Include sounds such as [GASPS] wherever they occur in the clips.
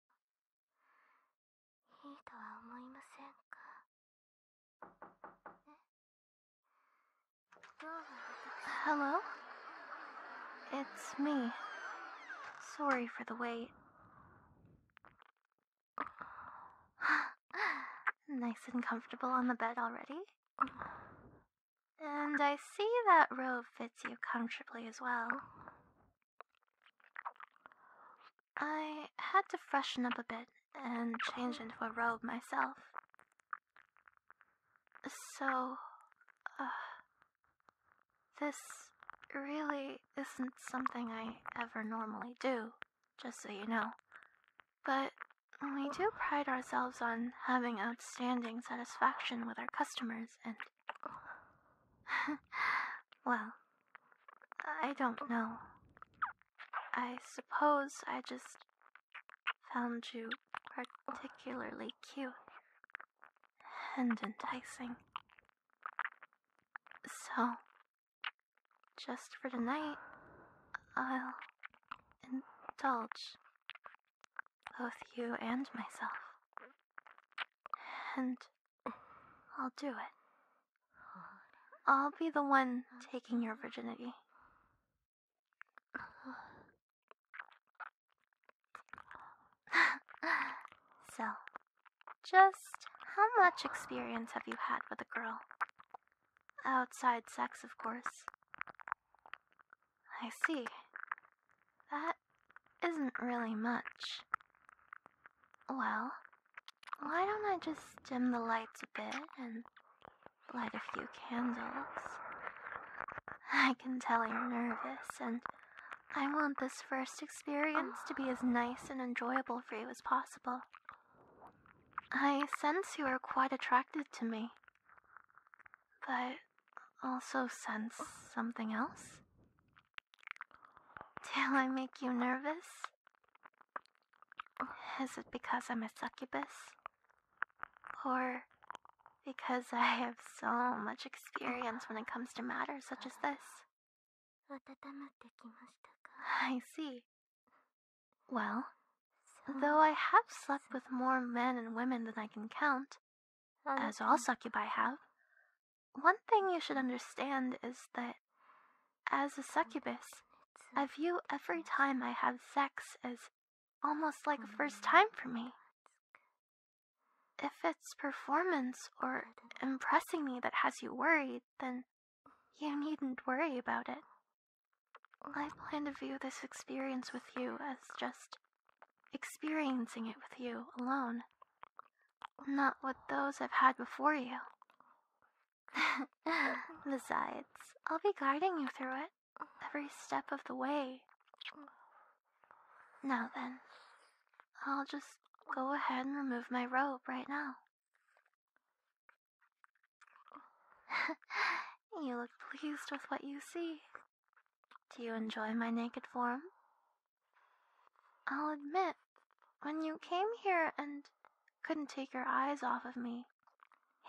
いいとは思いませんか Hello? It's me. Sorry for the wait. [GASPS] nice and comfortable on the bed already? And I see that robe fits you comfortably as well. I had to freshen up a bit and change into a robe myself. So, uh, this really isn't something I ever normally do, just so you know. But we do pride ourselves on having outstanding satisfaction with our customers, and [LAUGHS] [LAUGHS] Well, I don't know. I suppose I just found you particularly cute and enticing. So, just for tonight, I'll indulge both you and myself and I'll do it. I'll be the one taking your virginity. [LAUGHS] so, just how much experience have you had with a girl? Outside sex, of course. I see. That isn't really much. Well, why don't I just dim the lights a bit and light a few candles? I can tell you're nervous, and I want this first experience to be as nice and enjoyable for you as possible. I sense you are quite attracted to me, but also sense something else. Till I make you nervous? Is it because I'm a succubus? Or because I have so much experience when it comes to matters such as this? I see. Well, though I have slept with more men and women than I can count, um, as all succubi have. One thing you should understand is that, as a succubus, I view every time I have sex as almost like a first time for me. If it's performance or impressing me that has you worried, then you needn't worry about it. I plan to view this experience with you as just experiencing it with you alone. Not with those I've had before you. [LAUGHS] Besides, I'll be guiding you through it every step of the way. Now then, I'll just go ahead and remove my robe right now. [LAUGHS] you look pleased with what you see. Do you enjoy my naked form? I'll admit, when you came here and couldn't take your eyes off of me,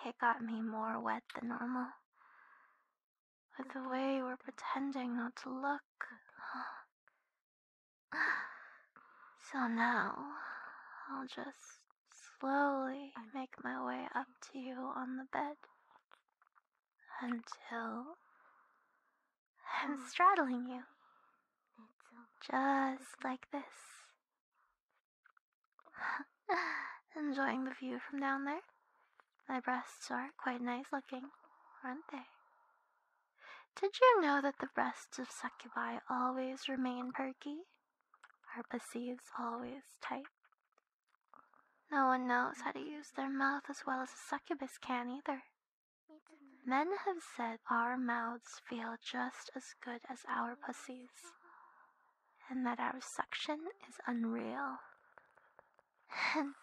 it got me more wet than normal. With the way you were pretending not to look. [SIGHS] So now, I'll just slowly make my way up to you on the bed until I'm [SIGHS] straddling you. Just like this. [SIGHS] Enjoying the view from down there? My breasts are quite nice looking, aren't they? Did you know that the breasts of succubi always remain perky? Our pussies always tight. No one knows how to use their mouth as well as a succubus can either. Men have said our mouths feel just as good as our pussies, and that our suction is unreal. And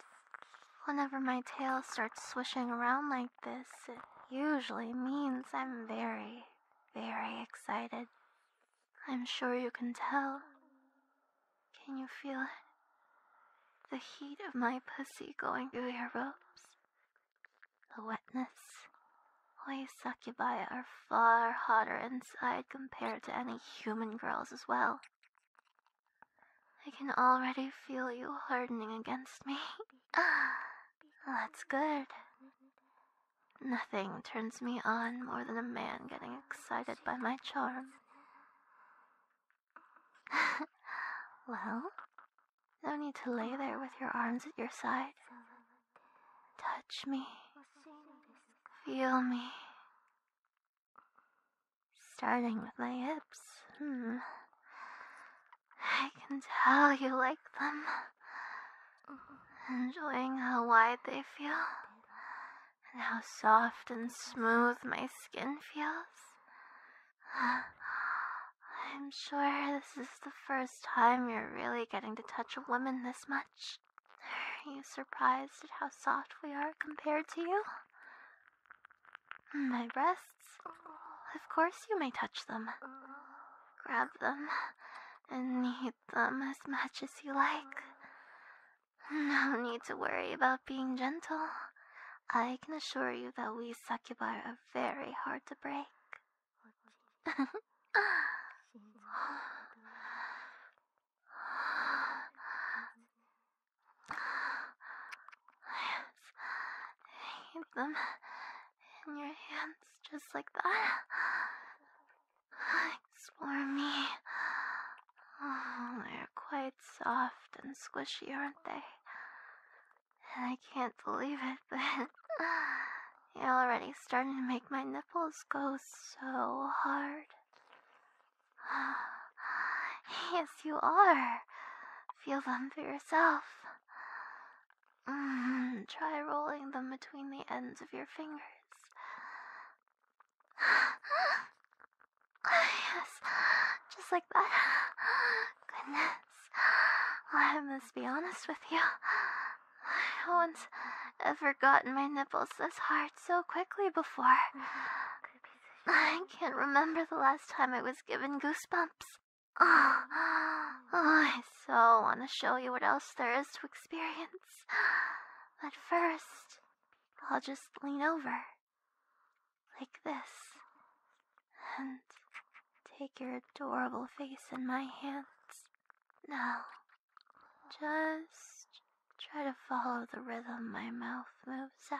whenever my tail starts swishing around like this, it usually means I'm very, very excited. I'm sure you can tell. Can you feel The heat of my pussy going through your ropes. The wetness. We succubi are far hotter inside compared to any human girls as well. I can already feel you hardening against me. [LAUGHS] That's good. Nothing turns me on more than a man getting excited by my charm. [LAUGHS] well, no need to lay there with your arms at your side. Touch me. Feel me. Starting with my hips. Hmm. I can tell you like them. Enjoying how wide they feel and how soft and smooth my skin feels. [SIGHS] I'm sure this is the first time you're really getting to touch a woman this much. Are you surprised at how soft we are compared to you? My breasts? Of course you may touch them. Grab them and eat them as much as you like. No need to worry about being gentle. I can assure you that we succubi are very hard to break. Eat [SIGHS] them in your hands just like that. Explore me. Oh, they're quite soft and squishy, aren't they? And I can't believe it, [LAUGHS] but you're already starting to make my nipples go so hard. [SIGHS] yes, you are. Feel them for yourself. Mm, try rolling them between the ends of your fingers yes, just like that. Goodness. I must be honest with you. No one's ever gotten my nipples this hard so quickly before. Mm-hmm. I can't remember the last time I was given goosebumps. Oh, I so want to show you what else there is to experience. But first, I'll just lean over like this, and take your adorable face in my hands. Now, just try to follow the rhythm my mouth moves at.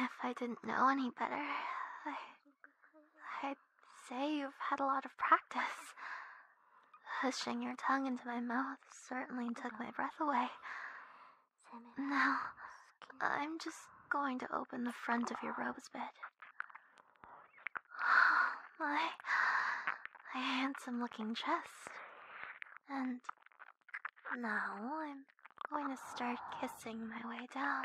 If I didn't know any better, I, would say you've had a lot of practice. Hushing your tongue into my mouth certainly took my breath away. Now, I'm just going to open the front of your robes, bed. [GASPS] my, my handsome looking chest. And now I'm going to start kissing my way down.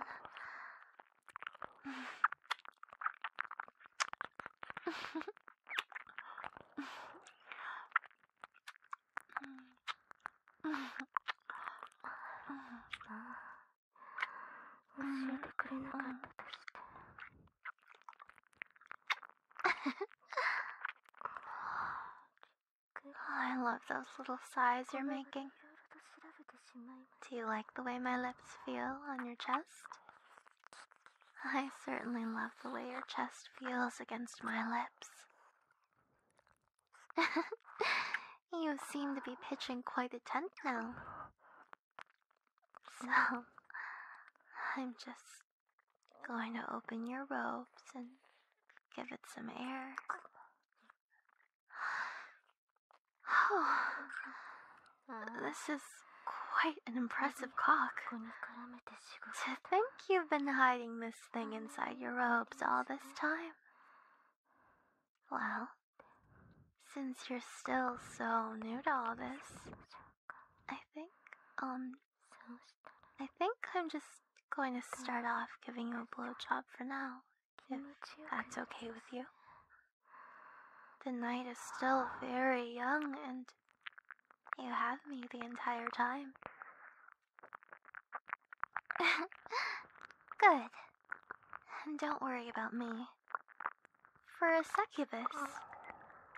Oh, I love those little sighs you're making. Do you like the way my lips feel on your chest? I certainly love the way your chest feels against my lips. [LAUGHS] you seem to be pitching quite a tent now. So, I'm just going to open your robes and give it some air. Oh, [SIGHS] this is quite an impressive cock. To think you've been hiding this thing inside your robes all this time. Well, since you're still so new to all this, I think, um, I think I'm just going to start off giving you a blowjob for now, that's okay with you. The night is still very young, and you have me the entire time. [LAUGHS] Good. And don't worry about me. For a succubus,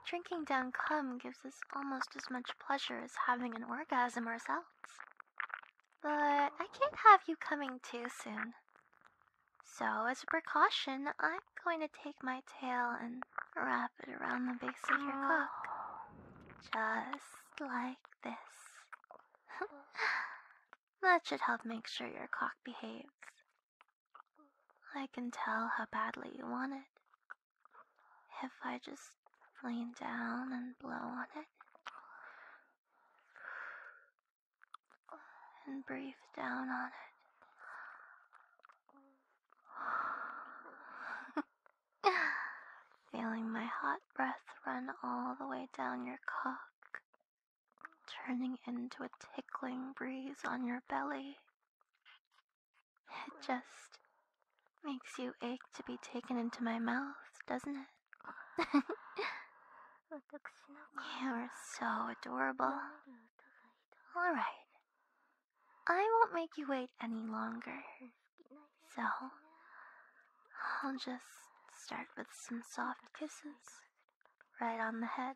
drinking down cum gives us almost as much pleasure as having an orgasm ourselves. But I can't have you coming too soon. So, as a precaution, I'm going to take my tail and wrap it around the base of your cock. Just like this. [LAUGHS] that should help make sure your cock behaves. I can tell how badly you want it if I just lean down and blow on it and breathe down on it. [SIGHS] Feeling my hot breath run all the way down your cock, turning into a tickling breeze on your belly. It just makes you ache to be taken into my mouth, doesn't it? [LAUGHS] You're so adorable. All right. I won't make you wait any longer. So, I'll just start with some soft kisses right on the head.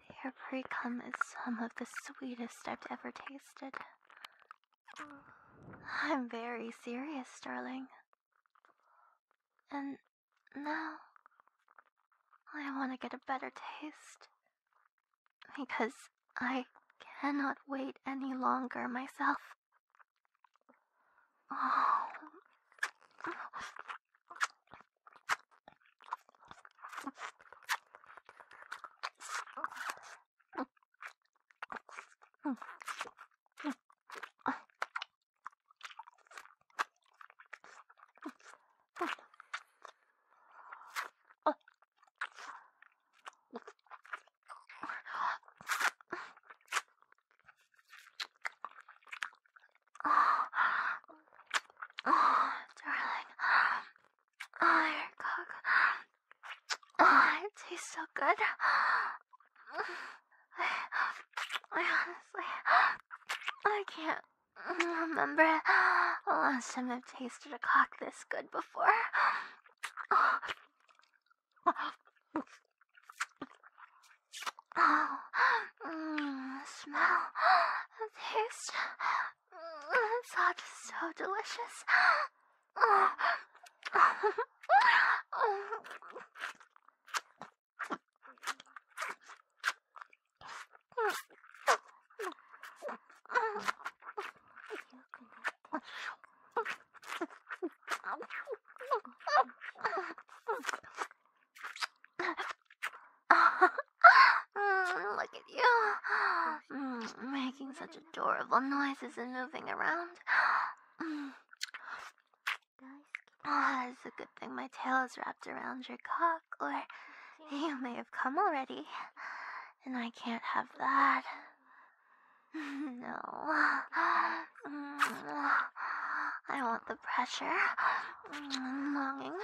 Their cum is some of the sweetest I've ever tasted. I'm very serious, darling. And now I want to get a better taste. Because I cannot wait any longer myself. Oh. Oh, darling, Oh, cock. Oh, it tastes so good. I, [SIGHS] I honestly, I can't remember the last time I've tasted a cock this good before. [SIGHS] Oh. Mm, smell, taste. Mm, That's so delicious. [LAUGHS] Mm, look at you. Mm, making such adorable noises and moving around. Mm. Ah, it's a good thing my tail is wrapped around your cock, or you may have come already. And I can't have that. [LAUGHS] no. Mm, I want the pressure and longing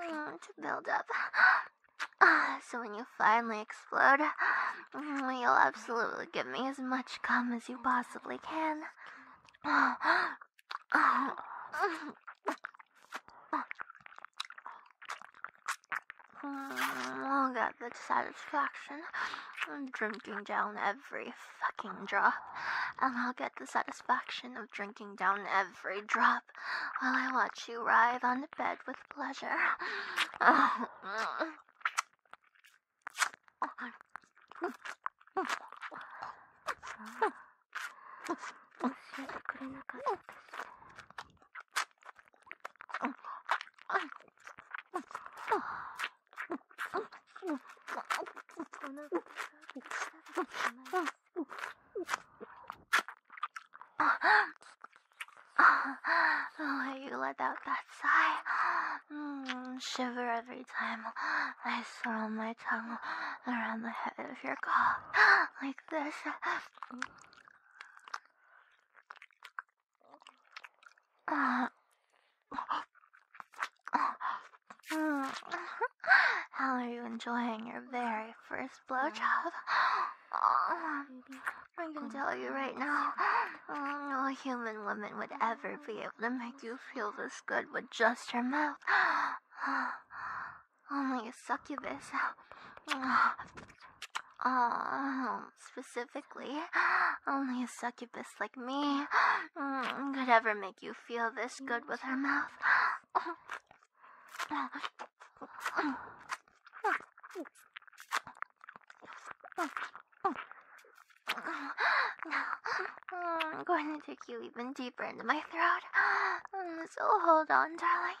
to build up Ah, so when you finally explode, [SIGHS] you'll absolutely give me as much cum as you possibly can. I'll oh, get the satisfaction of drinking down every fucking drop, and I'll get the satisfaction of drinking down every drop while I watch you writhe on the bed with pleasure. [LAUGHS] When oh, you let out that sigh, mm, shiver every time I swirl my tongue around the head of your cock like this. Uh, uh, mm. [LAUGHS] How are you enjoying your very first blowjob? Oh, [GASPS] I can tell you right now, [GASPS] no human woman would ever be able to make you feel this good with just her mouth. [GASPS] Only a succubus. Oh, specifically, only a succubus like me mm, could ever make you feel this good with her mouth. Now, I'm going to take you even deeper into my throat. So hold on, darling.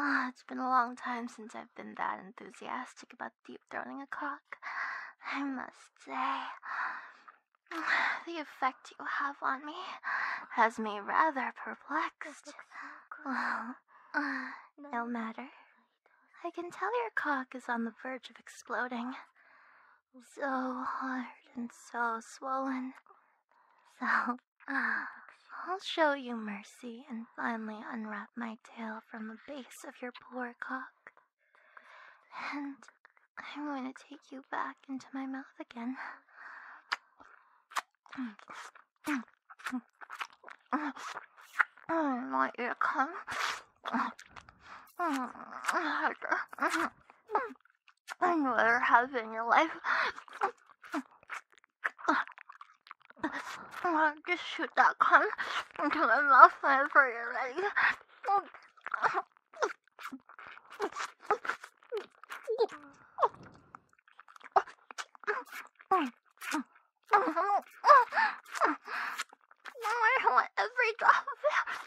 Ah, it's been a long time since I've been that enthusiastic about deep throating a cock. I must say, the effect you have on me has me rather perplexed. Oh, Ah, [SIGHS] no matter. I can tell your cock is on the verge of exploding. So hard and so swollen. So, uh, [SIGHS] I'll show you mercy and finally unwrap my tail from the base of your poor cock. And I'm going to take you back into my mouth again my ear come. And you ever have [LAUGHS] in your life. Just shoot that cum into my mouth whenever you're ready every drop of it.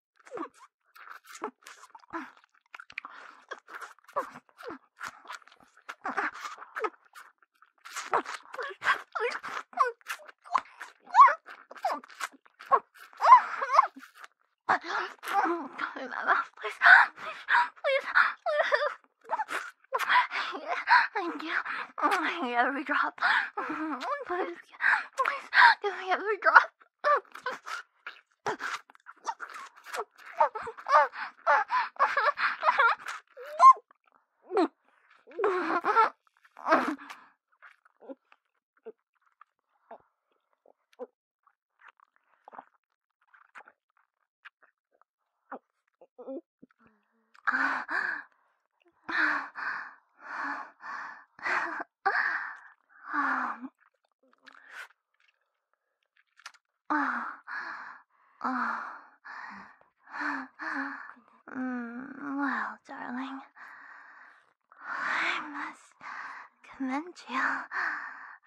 Please, please, please. Thank you. Every drop. Please. Please give me another drop. Mm, well, darling, I must commend you.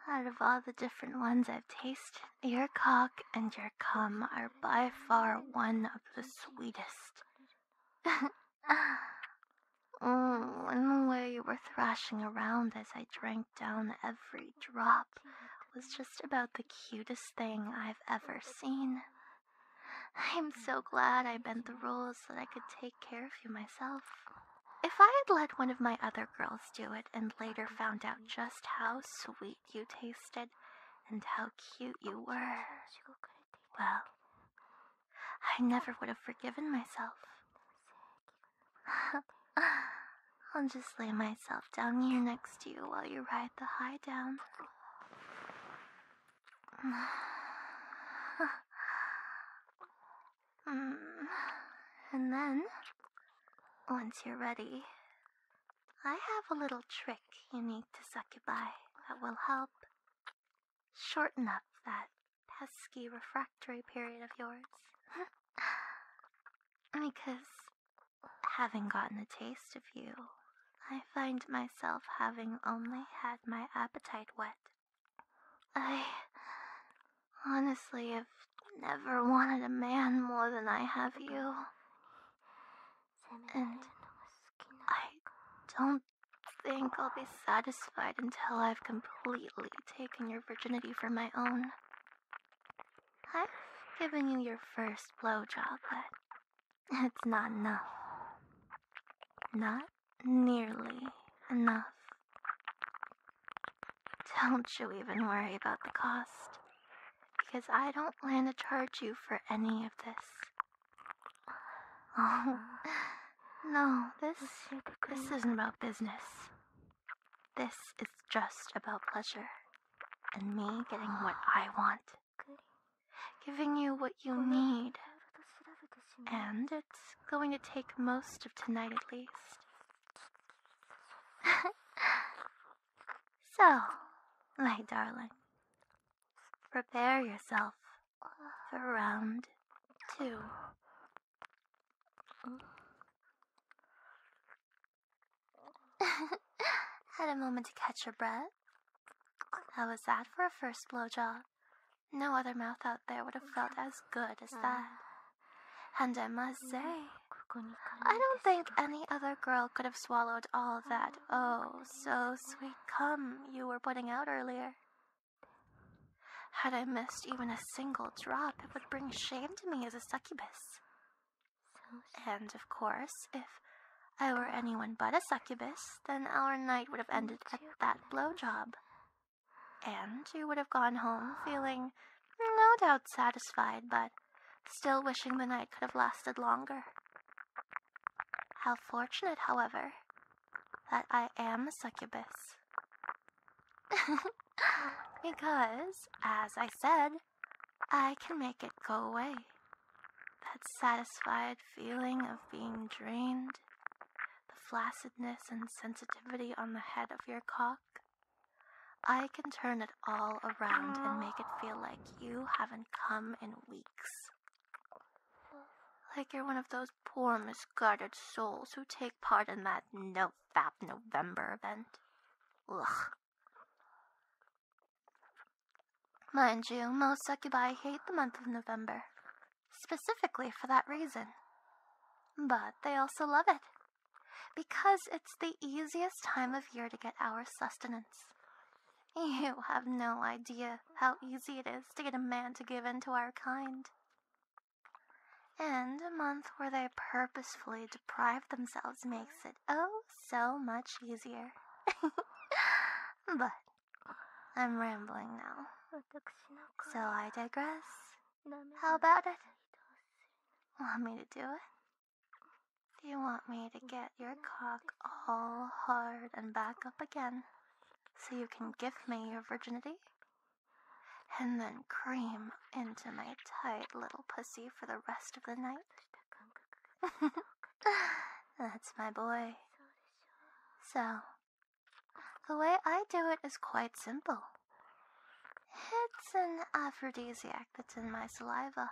Out of all the different ones I've tasted, your cock and your cum are by far one of the sweetest oh, [LAUGHS] the mm, way you were thrashing around as I drank down every drop was just about the cutest thing I've ever seen. I'm mm. so glad I bent the rules so I could take care of you myself. If I had let one of my other girls do it and later mm. found out just how sweet you tasted and how cute you were, well, I never would have forgiven myself. [LAUGHS] I'll just lay myself down here next to you while you ride the high down. [SIGHS] and then, once you're ready, I have a little trick you need to suck it by that will help Shorten up that pesky refractory period of yours. [LAUGHS] because having gotten a taste of you, I find myself having only had my appetite whet. I honestly have never wanted a man more than I have you. And I don't think I'll be satisfied until I've completely taken your virginity for my own. I've given you your first blowjob, but it's not enough. Not nearly enough. Don't you even worry about the cost, because I don't plan to charge you for any of this. [LAUGHS] No, this this isn't about business. This is just about pleasure. And me getting [SIGHS] what I want. Giving you what you need. And [LAUGHS] it's going to take most of tonight at least. [LAUGHS] so, my darling, Prepare yourself for round two. [LAUGHS] Had a moment to catch your breath. How was that for a first blowjob? No other mouth out there would have felt as good as that. And I must say, I don't think any other girl could have swallowed all that oh so sweet Come, you were putting out earlier. Had I missed even a single drop, it would bring shame to me as a succubus. And of course, if I were anyone but a succubus, then our night would have ended at that blowjob. And you would have gone home feeling no doubt satisfied, but still wishing the night could have lasted longer. How fortunate, however, that I am a succubus. [LAUGHS] because, as I said, I can make it go away. That satisfied feeling of being drained, the flaccidness and sensitivity on the head of your cock. I can turn it all around and make it feel like you haven't come in weeks. Like you're one of those poor misguided souls who take part in that no-fab November event. Ugh. Mind you, most succubi hate the month of November, specifically for that reason. But they also love it, because it's the easiest time of year to get our sustenance. [SIGHS] You have no idea how easy it is to get a man to give in to our kind. And a month where they purposefully deprive themselves makes it oh so much easier. [LAUGHS] but I'm rambling now. So I digress. How about it? Want me to do it? Do you want me to get your cock all hard and back up again so you can give me your virginity and then cream into my tight little pussy for the rest of the night. [LAUGHS] That's my boy. So, the way I do it is quite simple. It's an aphrodisiac that's in my saliva.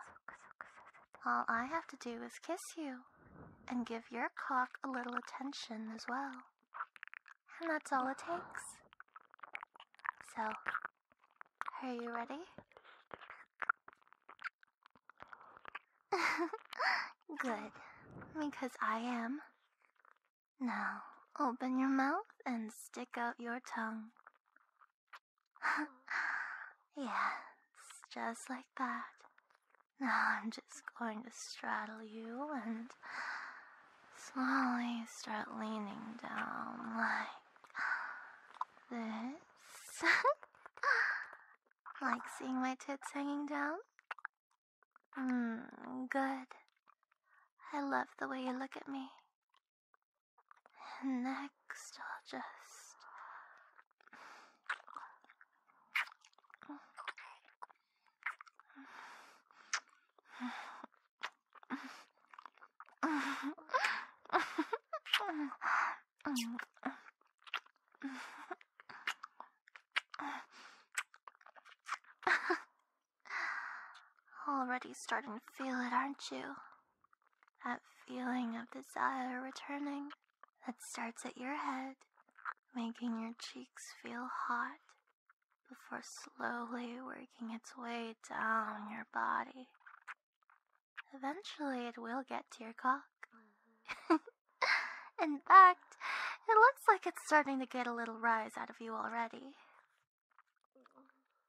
All I have to do is kiss you and give your cock a little attention as well. And that's all it takes. So, are you ready? [LAUGHS] Good, because I am. Now, open your mouth and stick out your tongue. [LAUGHS] yes, just like that. Now [LAUGHS] I'm just going to straddle you and slowly start leaning down like this. [LAUGHS] like seeing my tits hanging down? Mmm, good. I love the way you look at me. next, I'll just Already starting to feel it, aren't you? That feeling of desire returning that starts at your head, making your cheeks feel hot before slowly working its way down your body. Eventually, it will get to your cock. [LAUGHS] In fact, it looks like it's starting to get a little rise out of you already.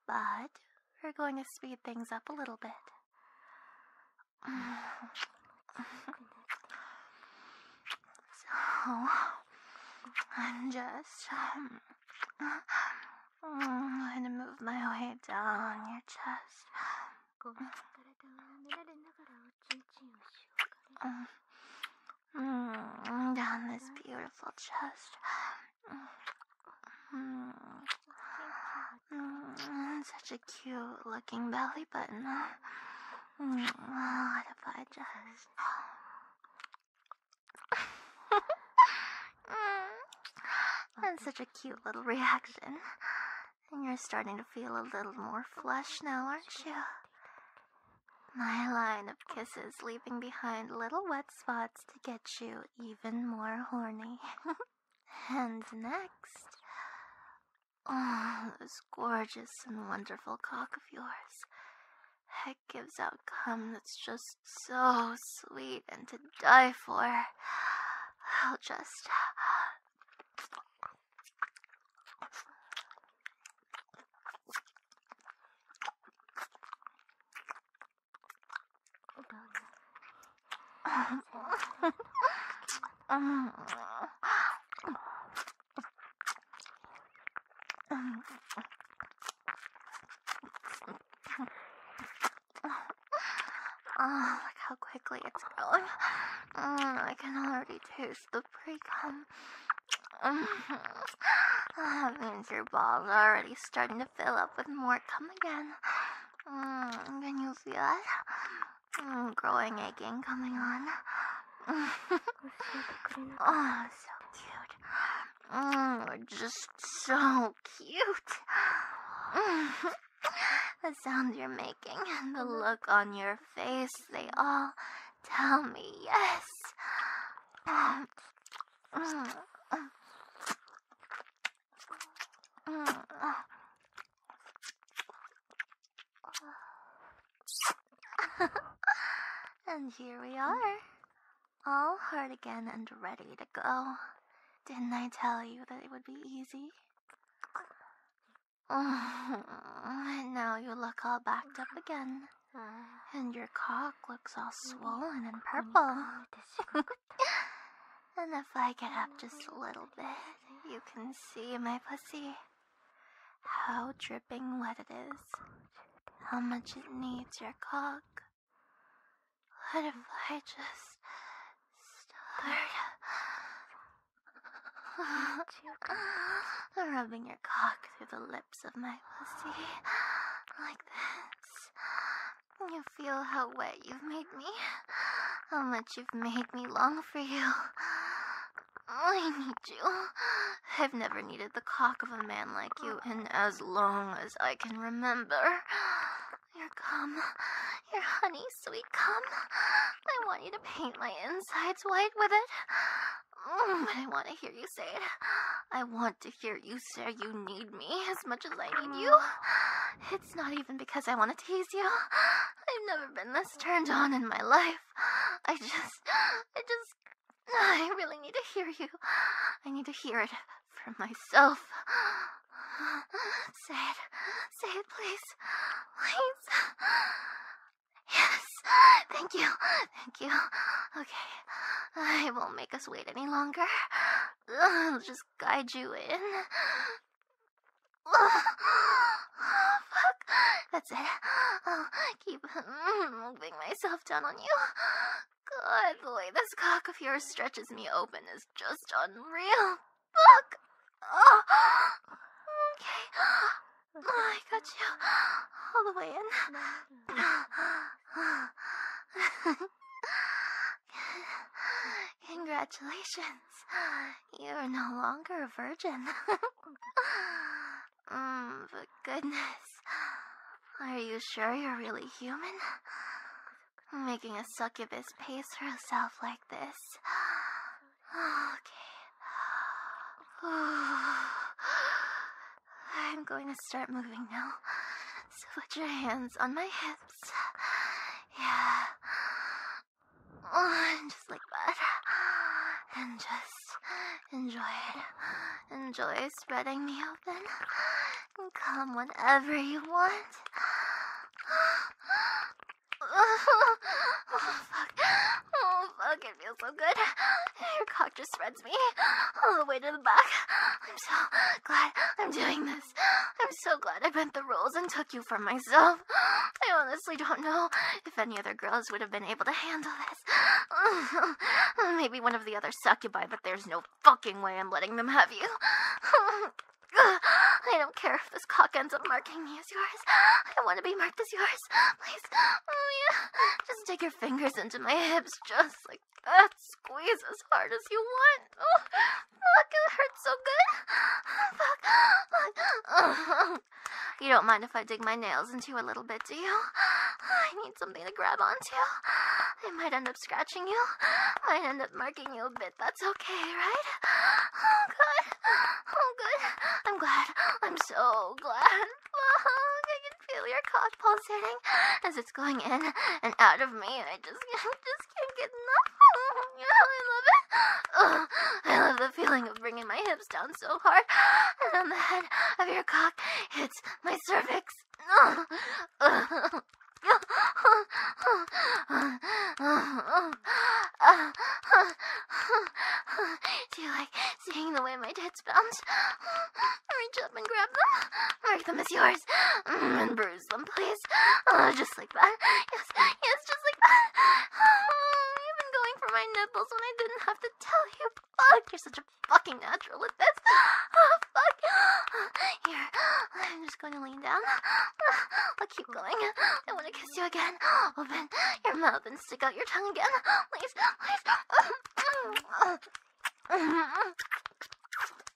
But we're going to speed things up a little bit. So, I'm just um, going to move my way down your chest. Um, down this beautiful chest. Mm. Mm, such a cute looking belly button. Mm, what if I just. such a cute little reaction. And you're starting to feel a little more flush now, aren't you? My line of kisses leaving behind little wet spots to get you even more horny. [LAUGHS] And next, oh, this gorgeous and wonderful cock of yours. It gives out cum that's just so sweet and to die for. I'll just. Oh, look how quickly it's going. Oh, I can already taste the pre-cum. Mm-hmm. that means your balls are already starting to fill up with more cum again. Mm, can you feel it? Mm, growing aching coming on. [LAUGHS] oh, so cute. Mm, just so cute. [LAUGHS] the sound you're making and the mm-hmm. look on your face, they all tell me yes. [SIGHS] Mm. [LAUGHS] and here we are, all hard again and ready to go. Didn't I tell you that it would be easy? [LAUGHS] and now you look all backed up again. And your cock looks all swollen and purple. Oh, [GASPS] And if I get up just a little bit, you can see my pussy. How dripping wet it is. How much it needs your cock. What if I just start [GASPS] rubbing your cock through the lips of my pussy [GASPS] like this? You feel how wet you've made me. How much you've made me long for you. I need you. I've never needed the cock of a man like you in as long as I can remember. you come, you're honey sweet Come, I want you to paint my insides white with it. But I want to hear you say it. I want to hear you say you need me as much as I need you. It's not even because I want to tease you. I've never been this turned on in my life. I just. I just. I really need to hear you. I need to hear it from myself. Say it. Say it, please. Please. Yes. Thank you. Thank you. Okay. I won't make us wait any longer. I'll just guide you in. Oh, [SIGHS] fuck. That's it. i keep [LAUGHS] moving myself down on you. God, the way this cock of yours stretches me open is just unreal. Fuck. [SIGHS] Okay. Oh, I got you all the way in. [LAUGHS] [LAUGHS] [LAUGHS] Congratulations. You're no longer a virgin. [LAUGHS] mm, but goodness. Are you sure you're really human? Making a succubus pace herself like this. [SIGHS] Okay. [SIGHS] I'm going to start moving now. So put your hands on my hips yeah. Oh, and just like that. And just enjoy it. Enjoy spreading me open. Come whenever you want. Oh, fuck. Oh, fuck. It feels so good. Your cock just spreads me all the way to the back. I'm so glad I'm doing this. I'm so glad I bent the rules and took you for myself. I honestly don't know if any other girls would have been able to handle this. [LAUGHS] Maybe one of the other succubi, but there's no fucking way I'm letting them have you. [LAUGHS] I don't care if this cock ends up marking me as yours. I want to be marked as yours. Please. Oh, [LAUGHS] yeah. Just dig your fingers into my hips just like that. Squeeze as hard as you want. Look, it hurts so good. Fuck. You don't mind if I dig my nails into you a little bit, do you? I need something to grab onto. I might end up scratching you. Might end up marking you a bit. That's okay, right? Oh, god! Oh, god! I'm glad. I'm so glad. Look, I can feel your cock pulsating as it's going in and out of me. I just, [LAUGHS] just can't get enough. I love it. [LAUGHS] I love the feeling of bringing my hips down so hard, and on the head of your cock hits my cervix. Do you like seeing the way my tits bounce? Reach up and grab them, mark them as yours, mm, and bruise lose them, please. Oh, just like that. Yes, yes, just like that. Oh, [SIGHS] you've been going for my nipples when I didn't have to tell you. Fuck, you're such a fucking natural [SIGHS] at this. Oh, fuck. [SIGHS] Here, I'm just going to lean down. I'll keep going. I want to kiss you again. [GASPS] Open your mouth and stick out your tongue again. Please, please. [LAUGHS]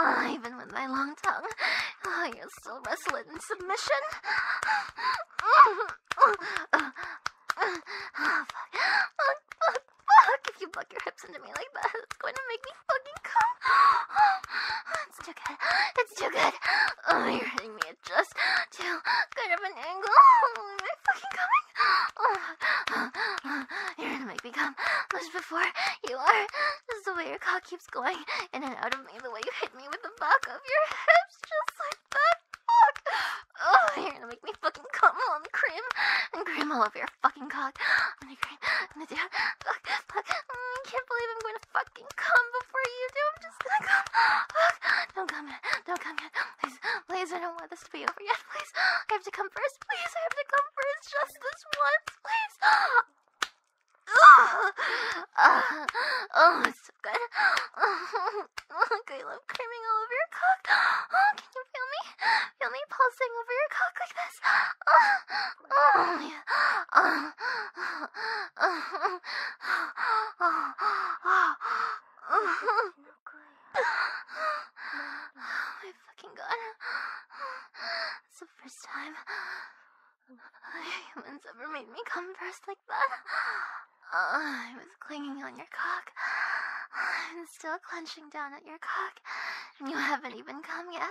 Oh, even with my long tongue, oh, you're still wrestling in submission. Oh, fuck. Oh, fuck the fuck? If you buck your hips into me like that, it's going to make me fucking come. it's [GASPS] too good. It's too good. Oh, you're hitting me at just too good of an angle. [LAUGHS] Oh, am I fucking coming? Oh, [SIGHS] you're gonna make me come much before you are. Just the way your cock keeps going in and out of me, the way you hit me with the back of your hips, just like that. Fuck. Oh, you're gonna make me fucking come on cream and cream all over your fucking cock. I'm gonna cream. Fuck, fuck. I mm, can't believe I'm going to fucking come before you do. I'm just gonna come. Fuck. Don't come yet. Don't come yet. Please, please, I don't want this to be over yet. Please, I have to come first. Please, I have to come first. Just this once, please. Oh, uh, oh it's so good. Oh, I love creaming all over your cock. Oh, can you feel me? yummy pulsing over your cock like this. Oh my fucking god. It's the first time humans ever made me come first like that. Uh, I was clinging on your cock. I'm still clenching down at your cock and you haven't even come yet.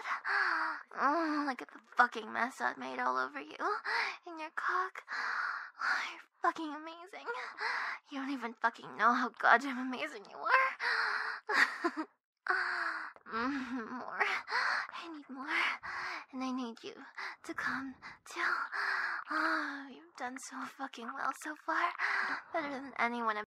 Oh, look at the fucking mess I've made all over you and your cock. you're fucking amazing. You don't even fucking know how goddamn amazing you are. Mm-hmm, more. I need more. And I need you to come till. Oh, you've done so fucking well so far. Better than anyone.